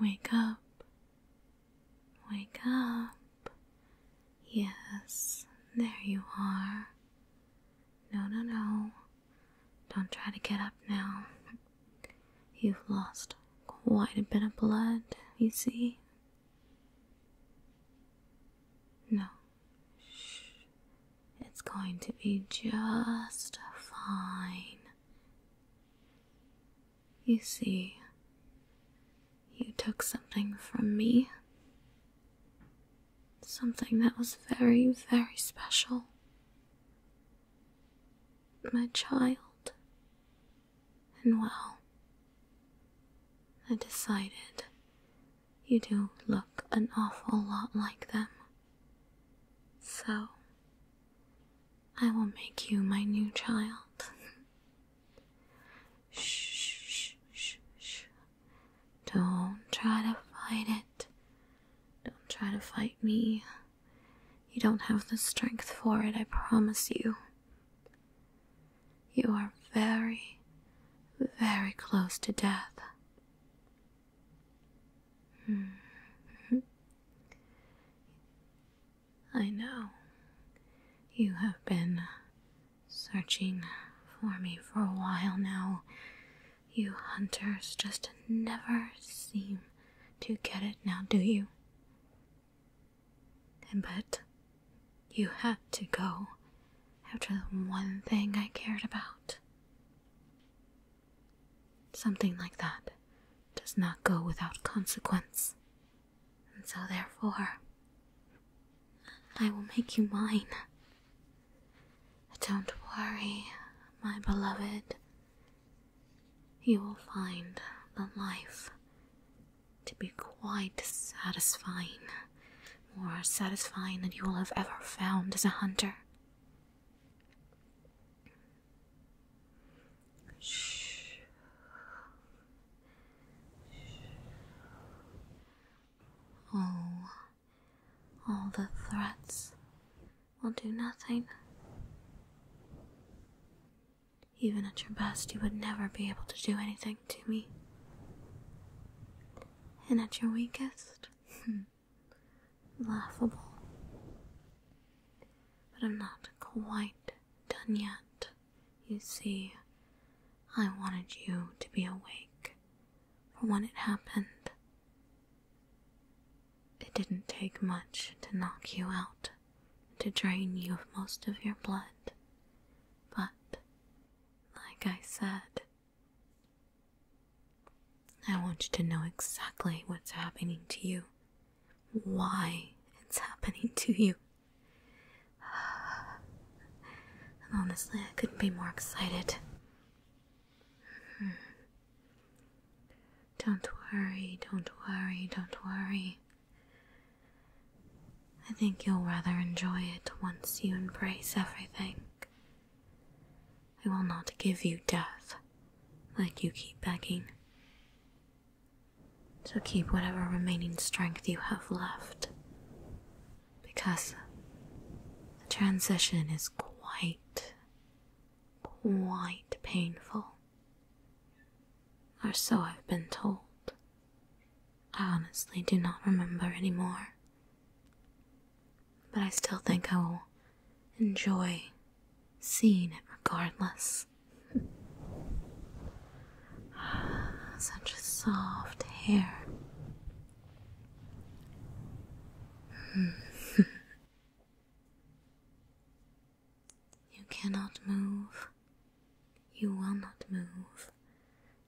Wake up, wake up. Yes, there you are. No, no, no. Don't try to get up now. You've lost quite a bit of blood, you see. No, shh. It's going to be just fine. You see, you took something from me. Something that was very, very special. My child. And well, I decided you do look an awful lot like them. So. I will make you my new child. shh, shh, shh, shh. Don't try to fight it. Don't try to fight me. You don't have the strength for it, I promise you. You are very, very close to death. I know. You have been searching for me for a while now. You hunters just never seem to get it now, do you? but you had to go after the one thing I cared about. Something like that does not go without consequence, and so therefore, I will make you mine. Don't worry, my beloved. You will find the life to be quite satisfying, more satisfying than you will have ever found as a hunter. Shh. Oh, all the threats will do nothing. Even at your best, you would never be able to do anything to me. And at your weakest, hmm, laughable. But I'm not quite done yet. You see, I wanted you to be awake for when it happened. It didn't take much to knock you out, to drain you of most of your blood. But, like I said, I want you to know exactly what's happening to you, why it's happening to you. honestly, I couldn't be more excited. Hmm. Don't worry, don't worry, don't worry. I think you'll rather enjoy it once you embrace everything. I will not give you death, like you keep begging. So keep whatever remaining strength you have left, because the transition is quite, quite painful. Or so I've been told. I honestly do not remember anymore but I still think I will enjoy seeing it regardless. Such soft hair. Hmm. you cannot move. You will not move.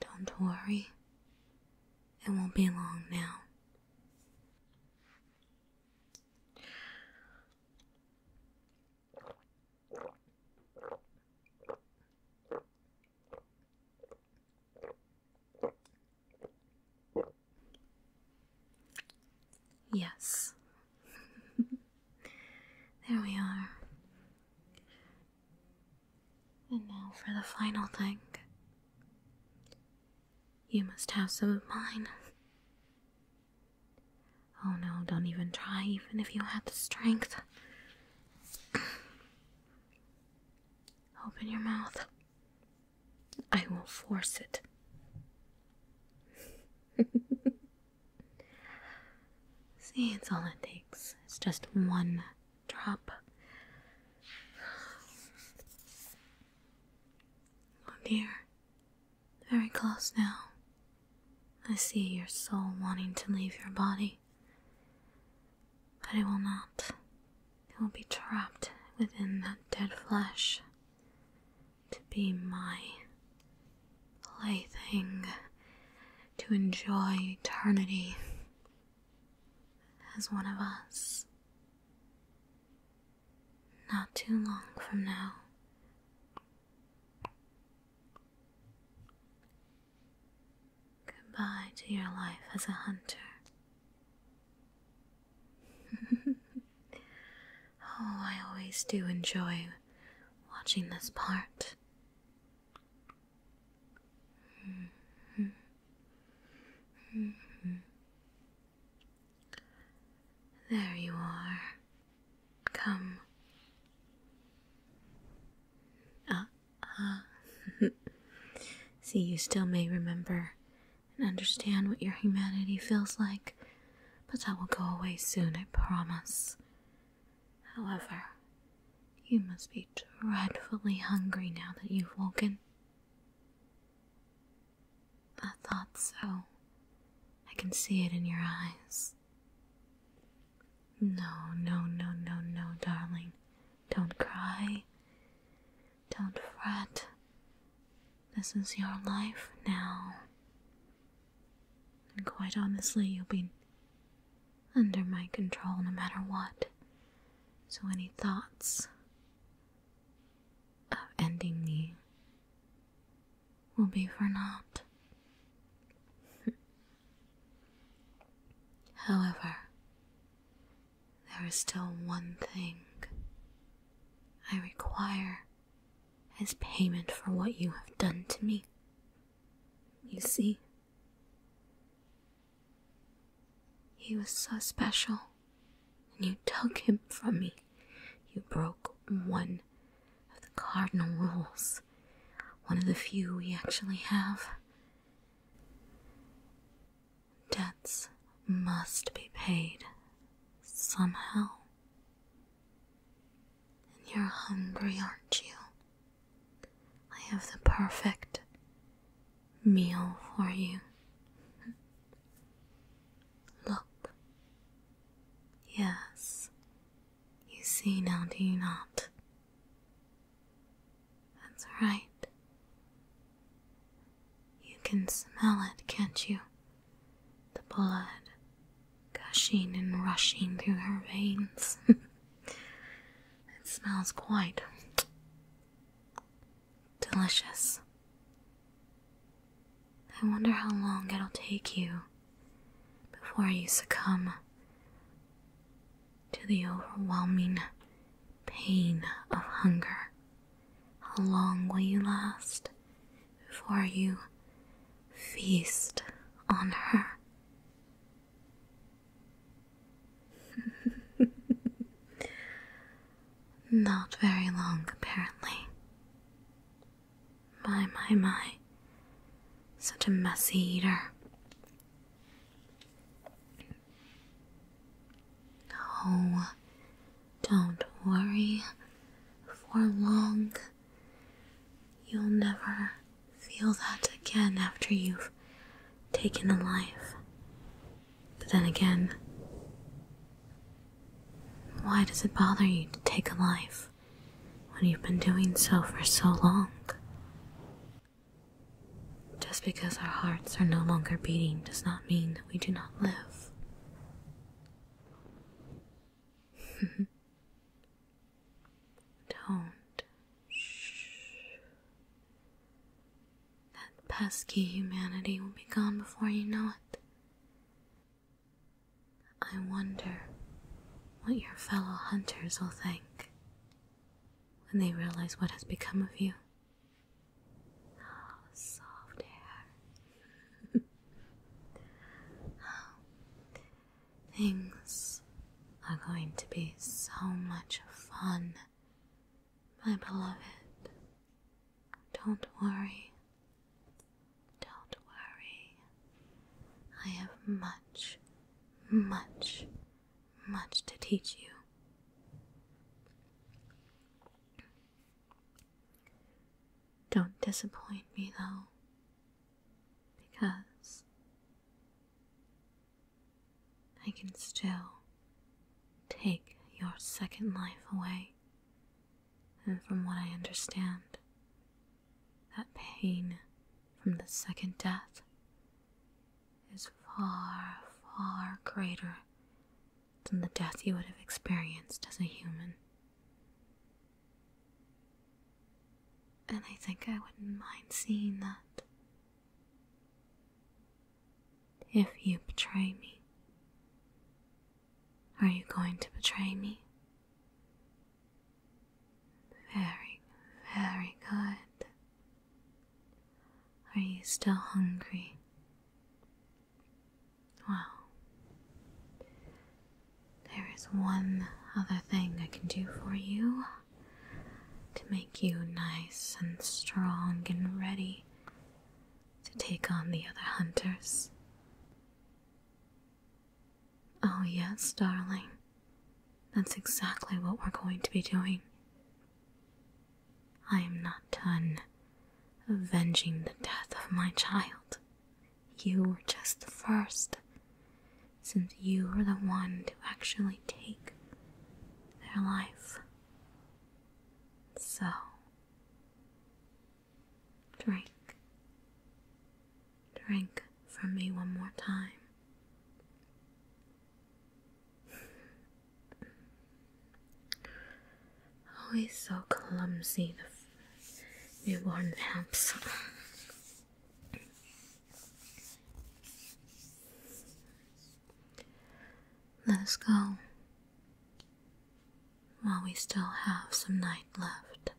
Don't worry. It won't be long now. Yes. there we are. And now for the final thing. You must have some of mine. Oh no, don't even try, even if you had the strength. Open your mouth. I will force it. See, it's all it takes. It's just one drop. My dear, Very close now. I see your soul wanting to leave your body. But it will not. It will be trapped within that dead flesh. To be my plaything. To enjoy eternity as one of us. Not too long from now. Goodbye to your life as a hunter. oh, I always do enjoy watching this part. Mm-hmm. Mm-hmm. There you are. Come. Ah, uh See, you still may remember and understand what your humanity feels like, but that will go away soon, I promise. However, you must be dreadfully hungry now that you've woken. I thought so. I can see it in your eyes. No, no, no, no, no, darling. Don't cry. Don't fret. This is your life now. And quite honestly, you'll be under my control no matter what. So any thoughts, of ending me will be for naught. However, there is still one thing I require as payment for what you have done to me. You see, he was so special, and you took him from me. You broke one of the cardinal rules, one of the few we actually have. Debts must be paid somehow. And you're hungry, aren't you? I have the perfect meal for you. Look. Yes, you see now, do you not? That's right. You can smell it, can't you? The blood gushing and rushing through her veins. it smells quite Delicious. I wonder how long it'll take you before you succumb to the overwhelming pain of hunger. How long will you last before you feast on her? Not very long, apparently. My, my, my. Such a messy eater. Oh, don't worry. For long, you'll never feel that again after you've taken a life. But then again, why does it bother you to take a life when you've been doing so for so long? Just because our hearts are no longer beating does not mean that we do not live. Don't. Shh. That pesky humanity will be gone before you know it. I wonder what your fellow hunters will think when they realize what has become of you. Ah, soft hair. things are going to be so much fun. My beloved, don't worry. Don't worry. I have much, much, much to teach you. Don't disappoint me though, because I can still take your second life away. And from what I understand, that pain from the second death is far, far greater than the death you would have experienced as a human. And I think I wouldn't mind seeing that if you betray me, are you going to betray me? Very, very good. Are you still hungry? Well, there is one other thing I can do for you to make you nice and strong and ready to take on the other hunters. Oh, yes, darling. That's exactly what we're going to be doing. I am not done avenging the death of my child. You were just the first, since you were the one to actually take their life. So, drink, drink from me one more time. Always so clumsy, the newborn vamps. Let us go while we still have some night left.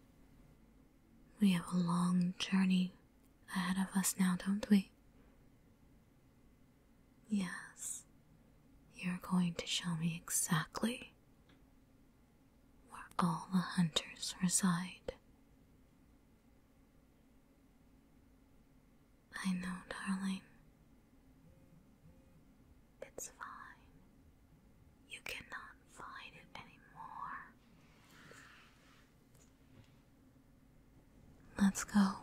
We have a long journey ahead of us now, don't we? Yes, you're going to show me exactly where all the hunters reside. I know, darling. It's fine. You cannot fight it anymore. Let's go.